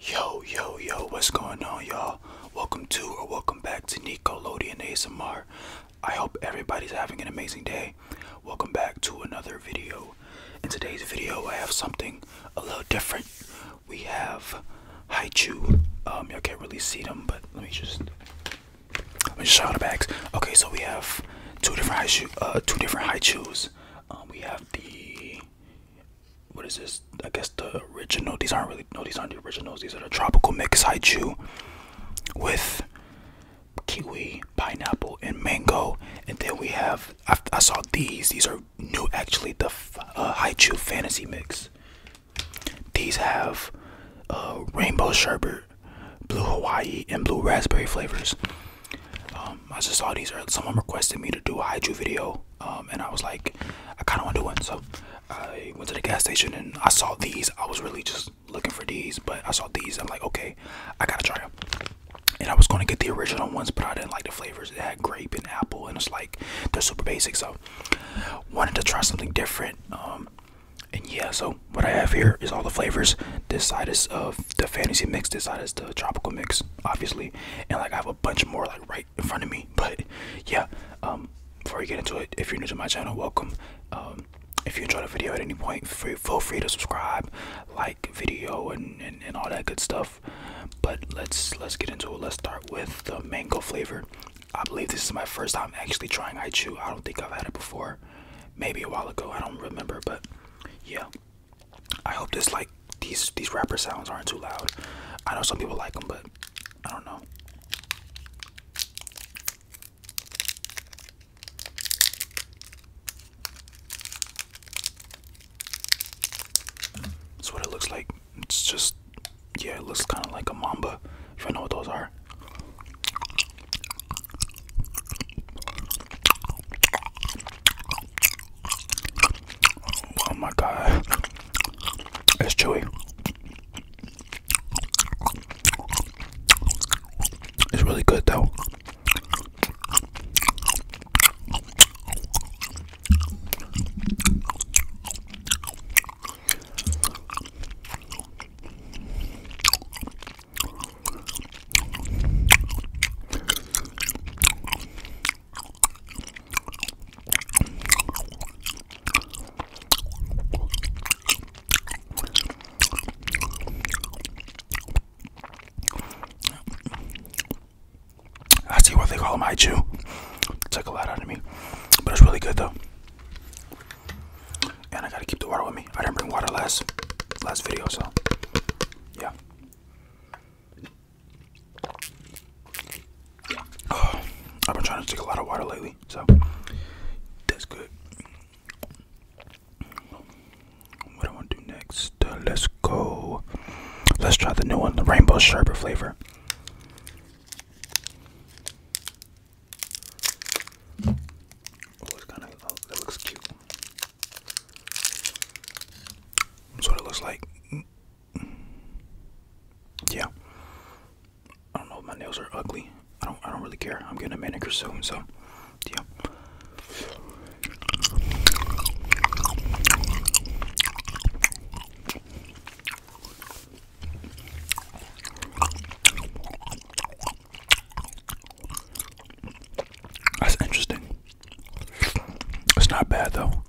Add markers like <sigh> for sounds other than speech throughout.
Yo, yo, yo, what's going on, y'all? Welcome to or welcome back to Nickelodeon ASMR. I hope everybody's having an amazing day. Welcome back to another video. In today's video, I have something a little different. We have Haichu. Um, y'all can't really see them, but let me just let me just show out the bags. Okay, so we have two different Haichu, uh, two different Haichus. Um, we have the what is this? I guess the original. These aren't really no. These aren't the originals. These are the tropical mix haichu with kiwi, pineapple, and mango. And then we have I, saw these. These are new. Actually, the uh, fantasy mix. These have uh, rainbow sherbet, blue Hawaii, and blue raspberry flavors. Um, I just saw these. Someone requested me to do a haichu video um, and I was like, I kind of want to do one. So I went to the gas station and I saw these. I was really just looking for these, but I saw these. I'm like, okay, I gotta try them. And I was going to get the original ones, but I didn't like the flavors. It had grape and apple, and it's like they're super basic. So wanted to try something different. Um, and yeah, so what I have here is all the flavors. This side is of the fantasy mix. This side is the tropical mix, obviously. And like I have a bunch more like in front of me but yeah um, before we get into it if you're new to my channel welcome um, if you enjoyed the video at any point feel free to subscribe like video and, and all that good stuff but let's let's get into it let's start with the mango flavor i believe this is my first time actually trying i chew i don't think i've had it before maybe a while ago i don't remember but yeah I hope this like these these rapper sounds aren't too loud. I know some people like them, but I don't know. That's what it looks like. It's just yeah, it looks kind of like a mamba. If I know what those are. Oh my god. It's chewy. It's really good though. I see what they call them. I chew. It took a lot out of me, but it's really good though. And I gotta keep the water with me. I didn't bring water last last video, so yeah. I've been trying to drink a lot of water lately, so that's good. What I want to do next? Uh, let's go. Let's try the new one, the rainbow sherbet flavor. Oh, it's kind of. Oh, that looks cute. That's what it looks like yeah. I don't know. if My nails are ugly. I don't. I don't really care. I'm getting a manicure soon, so yeah. That's interesting. It's not bad though.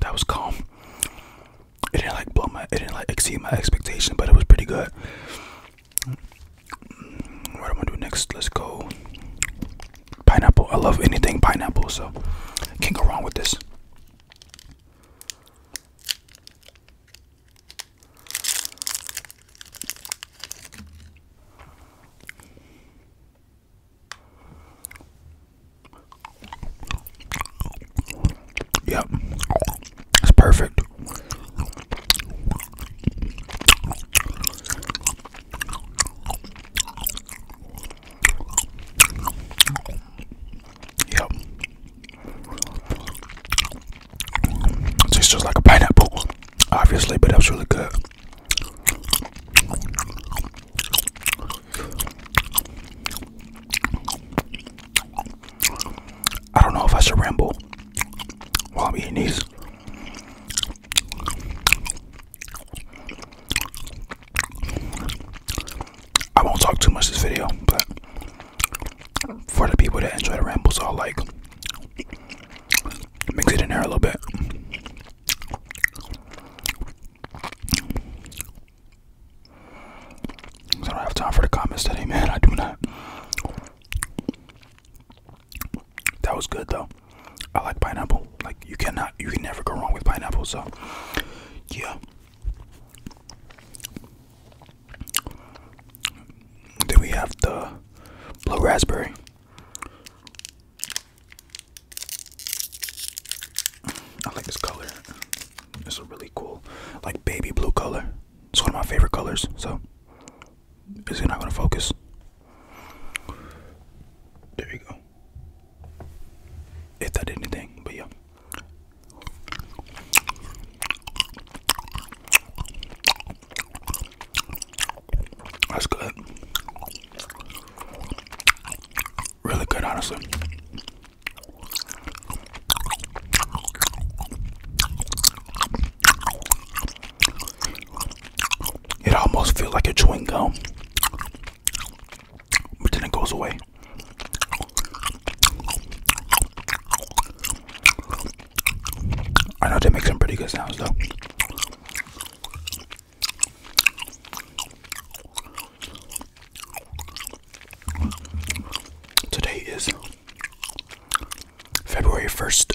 That was calm. It didn't like blow my it didn't like exceed my expectation, but it was pretty good. What I'm gonna do next? Let's go. Pineapple. I love anything pineapple, so can't go wrong with this. Yep, it's perfect. Yep. tastes just like a pineapple, obviously, but that was really good. I don't know if I should ramble while I'm eating these. I won't talk too much this video, but for the people that enjoy the rambles, I'll like mix it in there a little bit. I don't have time for the comments today, man. I do not. That was good though. I like pineapple. Like you cannot, you can never go wrong with pineapple. So, yeah. Then we have the blue raspberry. I like this color. It's a really cool, like baby blue color. It's one of my favorite colors. So, is it not gonna focus? There you go. If that did anything, but yeah. That's good. Really good, honestly. It almost feels like a chewing gum but then it goes away. I know that makes some pretty good sounds though. Today is February 1st.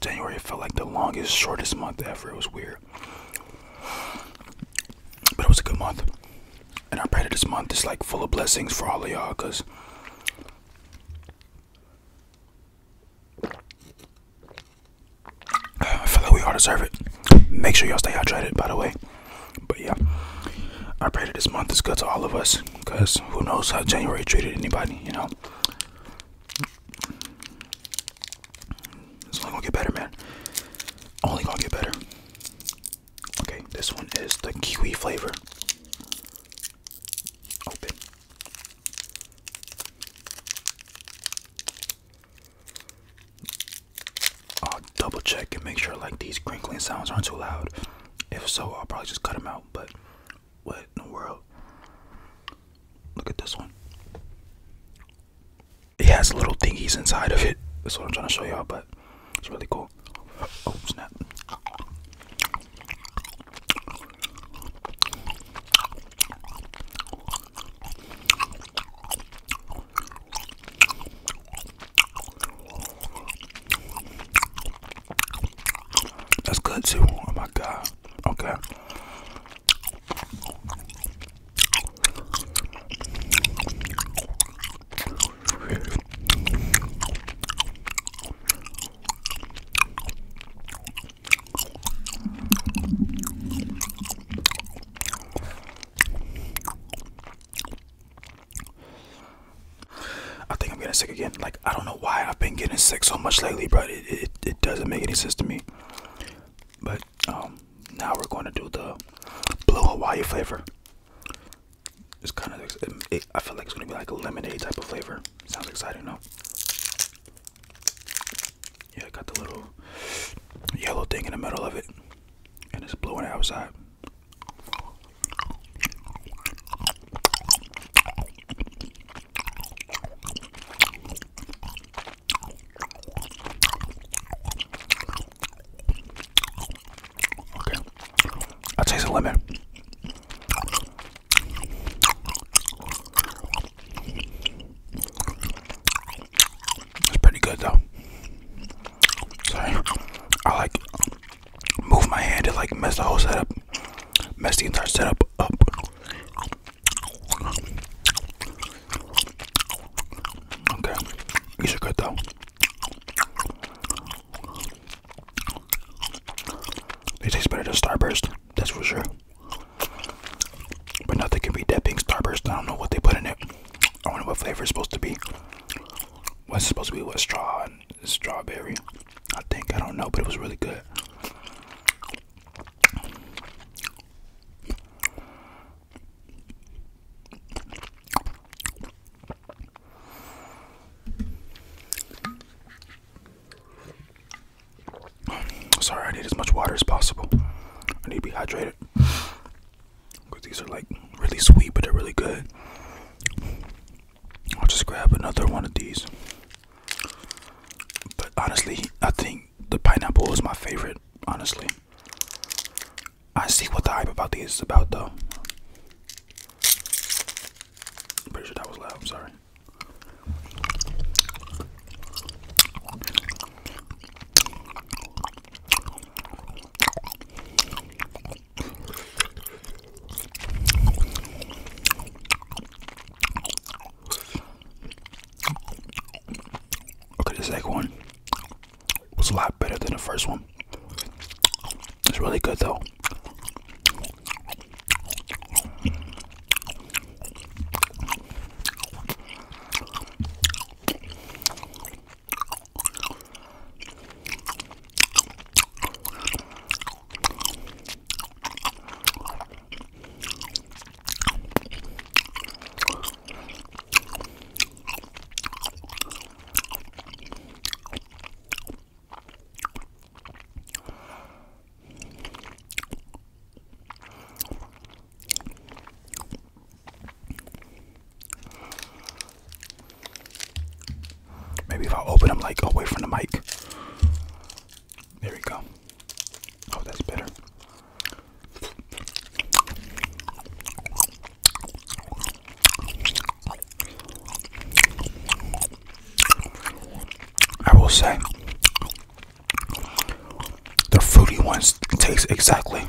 January felt like the longest, shortest month ever. It was weird. But it was a good month. And I pray that this month is like full of blessings for all of y'all because I feel like we all deserve it. Make sure y'all stay hydrated, by the way. But yeah, I pray that this month is good to all of us because who knows how January treated anybody, you know? It's only gonna get better, man. Only gonna get better. Okay, this one is the kiwi flavor. Open. I'll double check and make sure like these crinkling sounds aren't too loud. If so, I'll probably just cut them out. But what in the world? Look at this one it has little thingies inside of it. That's what I'm trying to show y'all, but it's really cool. Oh snap! That's good too. Oh my god. Okay. I think I'm getting sick again. Like I don't know why I've been getting sick so much lately, but it, it it doesn't make any sense to me. But um, now we're going to do the blue Hawaii flavor. It's kind of, I feel like it's going to be like a lemonade type of flavor. Sounds exciting, no? Yeah, I got the little yellow thing in the middle of it, and it's blue on the outside. Okay. I taste a lemon. It's pretty good though. Sorry. I like move my hand to like mess the whole setup. Mess the entire setup up. Okay, these are good though. They taste better than Starburst, that's for sure. But nothing can be that pink Starburst. I don't know what they put in it. I wonder what flavor it's supposed to be. What's supposed to be with straw strawberry? I think I don't know, but it was really good. Sorry, I need as much water as possible. I need to be hydrated. Because these are like really sweet, but they're really good. I'll just grab another one of these. But honestly, I think the pineapple is my favorite honestly. I see what the hype about these is about, though. pretty sure that was loud, I'm sorry. Okay, the second one was a lot better than the first one. It's really good though. Maybe if I open them like away from the mic. There we go. Oh, that's better. I will say the fruity ones taste exactly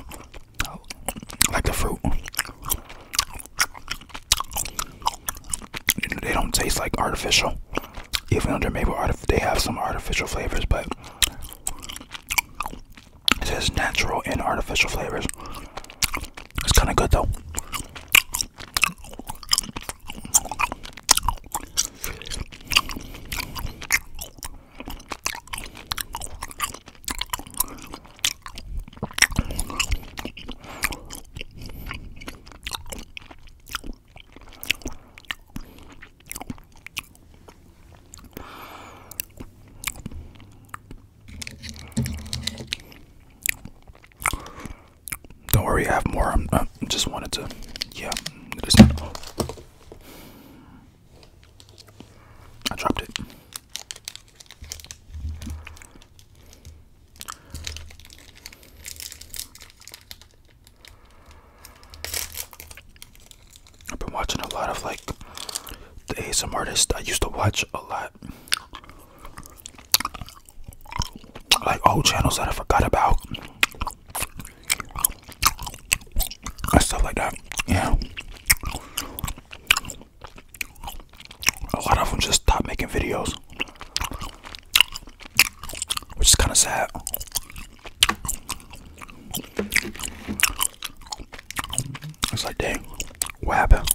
like the fruit. They don't taste like artificial, even though they they have some artificial flavors, but it says natural and artificial flavors. It's kind of good though. Don't worry, I have more. I'm, just wanted to, yeah. I dropped it. I've been watching a lot of like the ASM artists I used to watch a lot. Like old channels that I forgot about. And stuff like that. Yeah. A lot of them just stopped making videos. Which is kind of sad. It's like, dang, what happened?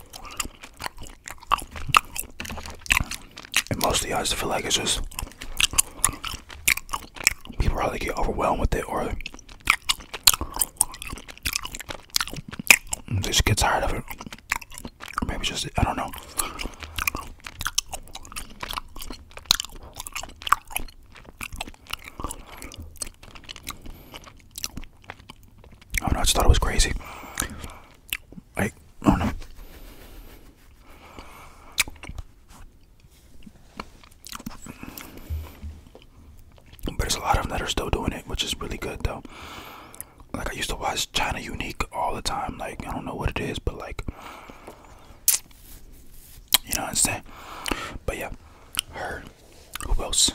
And mostly I just feel like it's just people probably get overwhelmed with it or they just get tired of it. maybe just, I don't know. I oh, do I just thought it was crazy. Like, I don't know. Oh, but there's a lot of them that are still doing it, which is really good though. Like I used to watch China Unique all the time. Like I don't know what it is, but like you know what I'm saying? But yeah, her. Who else?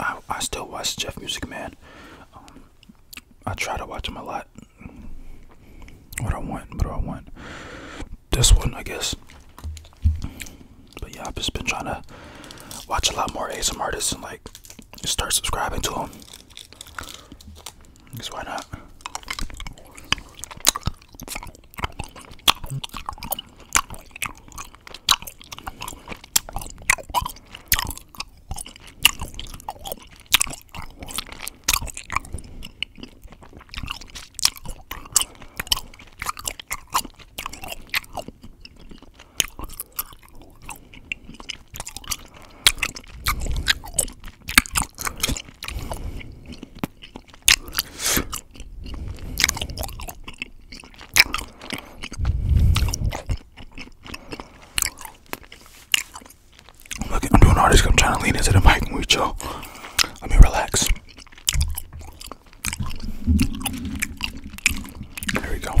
I I still watch Jeff Music Man. Um, I try to watch him a lot. What do I want, what do I want? This one, I guess. But yeah, I've just been trying to watch a lot more ASM artists and like start subscribing to them. Because why not? Look, I'm doing all this. I'm trying to lean into the mic and we chill. Let me relax. There we go.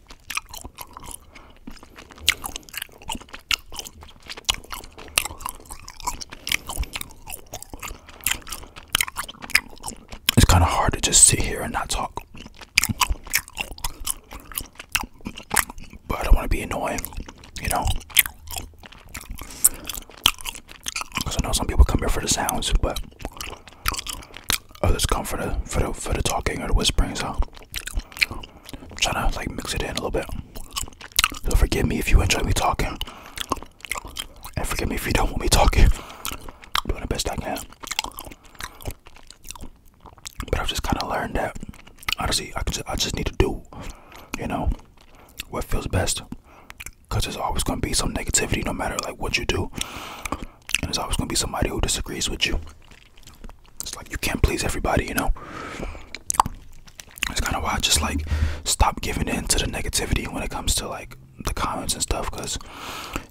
It's kind of hard to just sit here and not talk. But I don't want to be annoying, you know? Because I know some people come here for the sounds, but Oh, that's comfort for the for the talking or the whispering. So I'm trying to like mix it in a little bit. So forgive me if you enjoy me talking, and forgive me if you don't want me talking. I'm doing the best I can. But I've just kind of learned that honestly, I just I just need to do, you know, what feels best. Cause there's always gonna be some negativity, no matter like what you do and there's always gonna be somebody who disagrees with you. It's like you can't please everybody, you know. It's kind of why just like stop giving in to the negativity when it comes to like the comments and stuff, because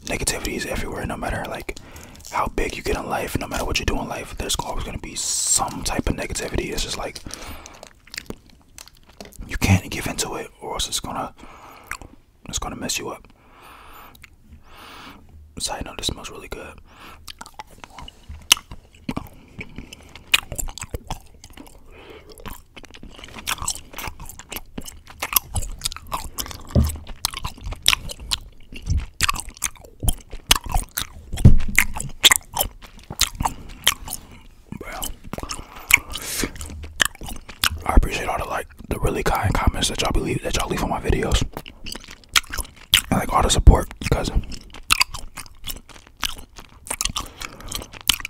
negativity is everywhere. No matter like how big you get in life, no matter what you do in life, there's always gonna be some type of negativity. It's just like you can't give into it, or else it's gonna it's gonna mess you up. Side note, this smells really good. Bro. I appreciate all the likes the really kind comments that y'all leave, that y'all leave on my videos. I like all the support because I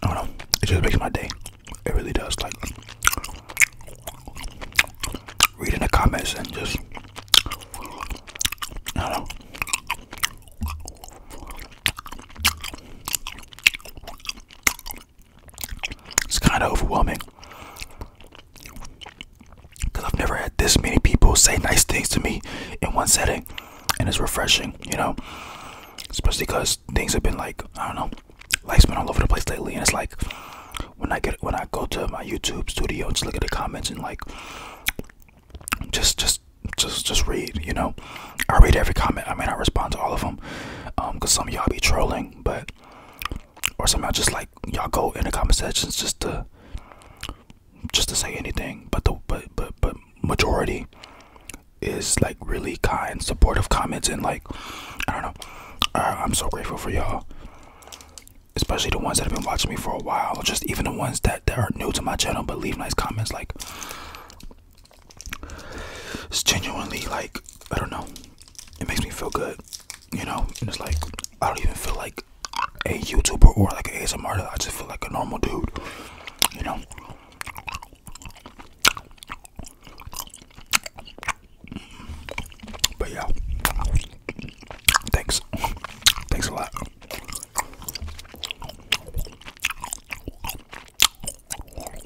don't know. It just makes my day. It really does. Like reading the comments and just I don't know. It's kind of overwhelming because I've never had this many people say nice things to me in one setting, and it's refreshing, you know. Especially because things have been like I don't know, life's been all over the place lately, and it's like when I get when I go to my YouTube studio and just look at the comments and like just just just just read, you know. I read every comment. I may not respond to all of them because um, some y'all be trolling, but or somehow just like y'all go in the comment sections just to just to say anything but the but but but majority is like really kind supportive comments and like i don't know I, am so grateful for y'all especially the ones that have been watching me for a while just even the ones that, that are new to my channel but leave nice comments like it's genuinely like i don't know it makes me feel good, you know. And it's like I don't even feel like a YouTuber or like an ASMR. I just feel like a normal dude, you know. But yeah, thanks, thanks a lot.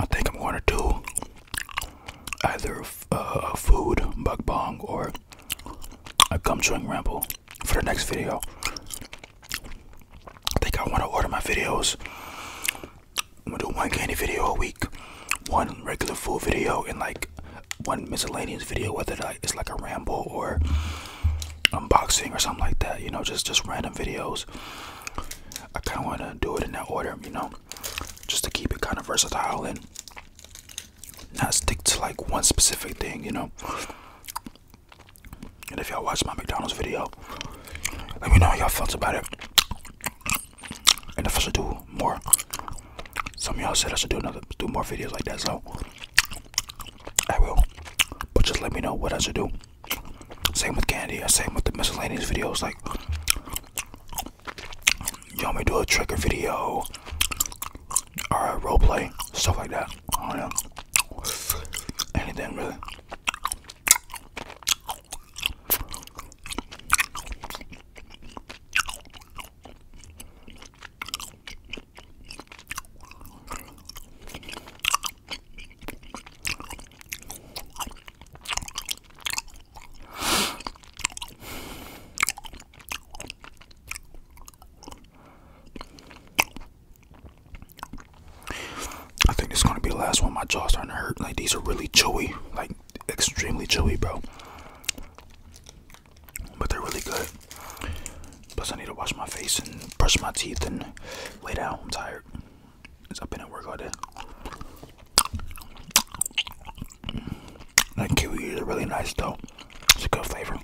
I think I'm going to do either uh, a food bug bong or a gum chewing ramble for the next video. I think I want to order my videos. I'm going to do one candy video a week, one regular food video, and like one miscellaneous video, whether I it's like a ramble or unboxing or something like that. You know, just just random videos. I kind of want to do it in that order. You know, just to keep it kind of versatile and not stick to like one specific thing. You know. And if y'all watch my McDonald's video, let me know how y'all felt about it. And if I should do more some y'all said I should do another, do more videos like that, so I will. But just let me know what I should do. Same with candy. Uh, same with the miscellaneous videos. Like, you all want me to do a trigger video or a role play, stuff like that. I do Anything really. I think this is gonna be the last one. My jaw's starting to hurt. Like these are really chewy, like extremely chewy, bro but they're really good. Plus, I need to wash my face and brush my teeth and lay down. I'm tired. Cause I've been at work all day. That kiwi is really nice though. It's a good flavor.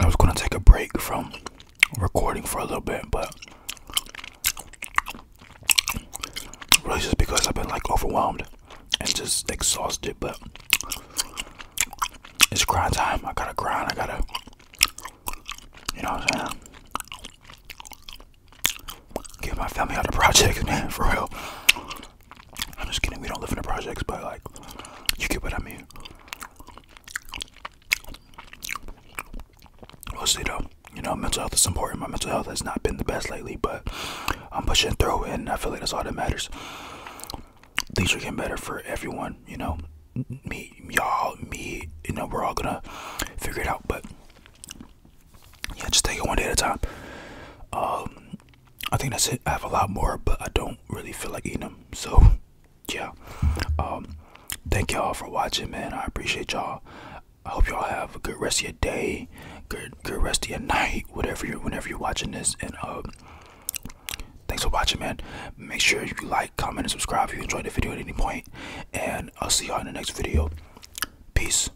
I was gonna take a break from recording for a little bit, but really just because I've been like overwhelmed and just exhausted, but it's grind time. I gotta grind, I gotta you know what I'm saying? Get my family out of projects, <laughs> man, for real. I'm just kidding. We don't live in the projects, but like, you get what I mean. we though. You know, mental health is important. My mental health has not been the best lately, but I'm pushing through, and I feel like that's all that matters. Things are getting better for everyone. You know, me, y'all, me. You know, we're all gonna figure it out. But yeah, just take it one day at a time. Um, I think that's it. I have a lot more, but I don't really feel like eating them. So, yeah. Um, thank y'all for watching, man. I appreciate y'all. I hope y'all have a good rest of your day, good good rest of your night, whatever you whenever you're watching this. And um, thanks for watching, man. Make sure you like, comment, and subscribe if you enjoyed the video at any point. And I'll see y'all in the next video. Peace.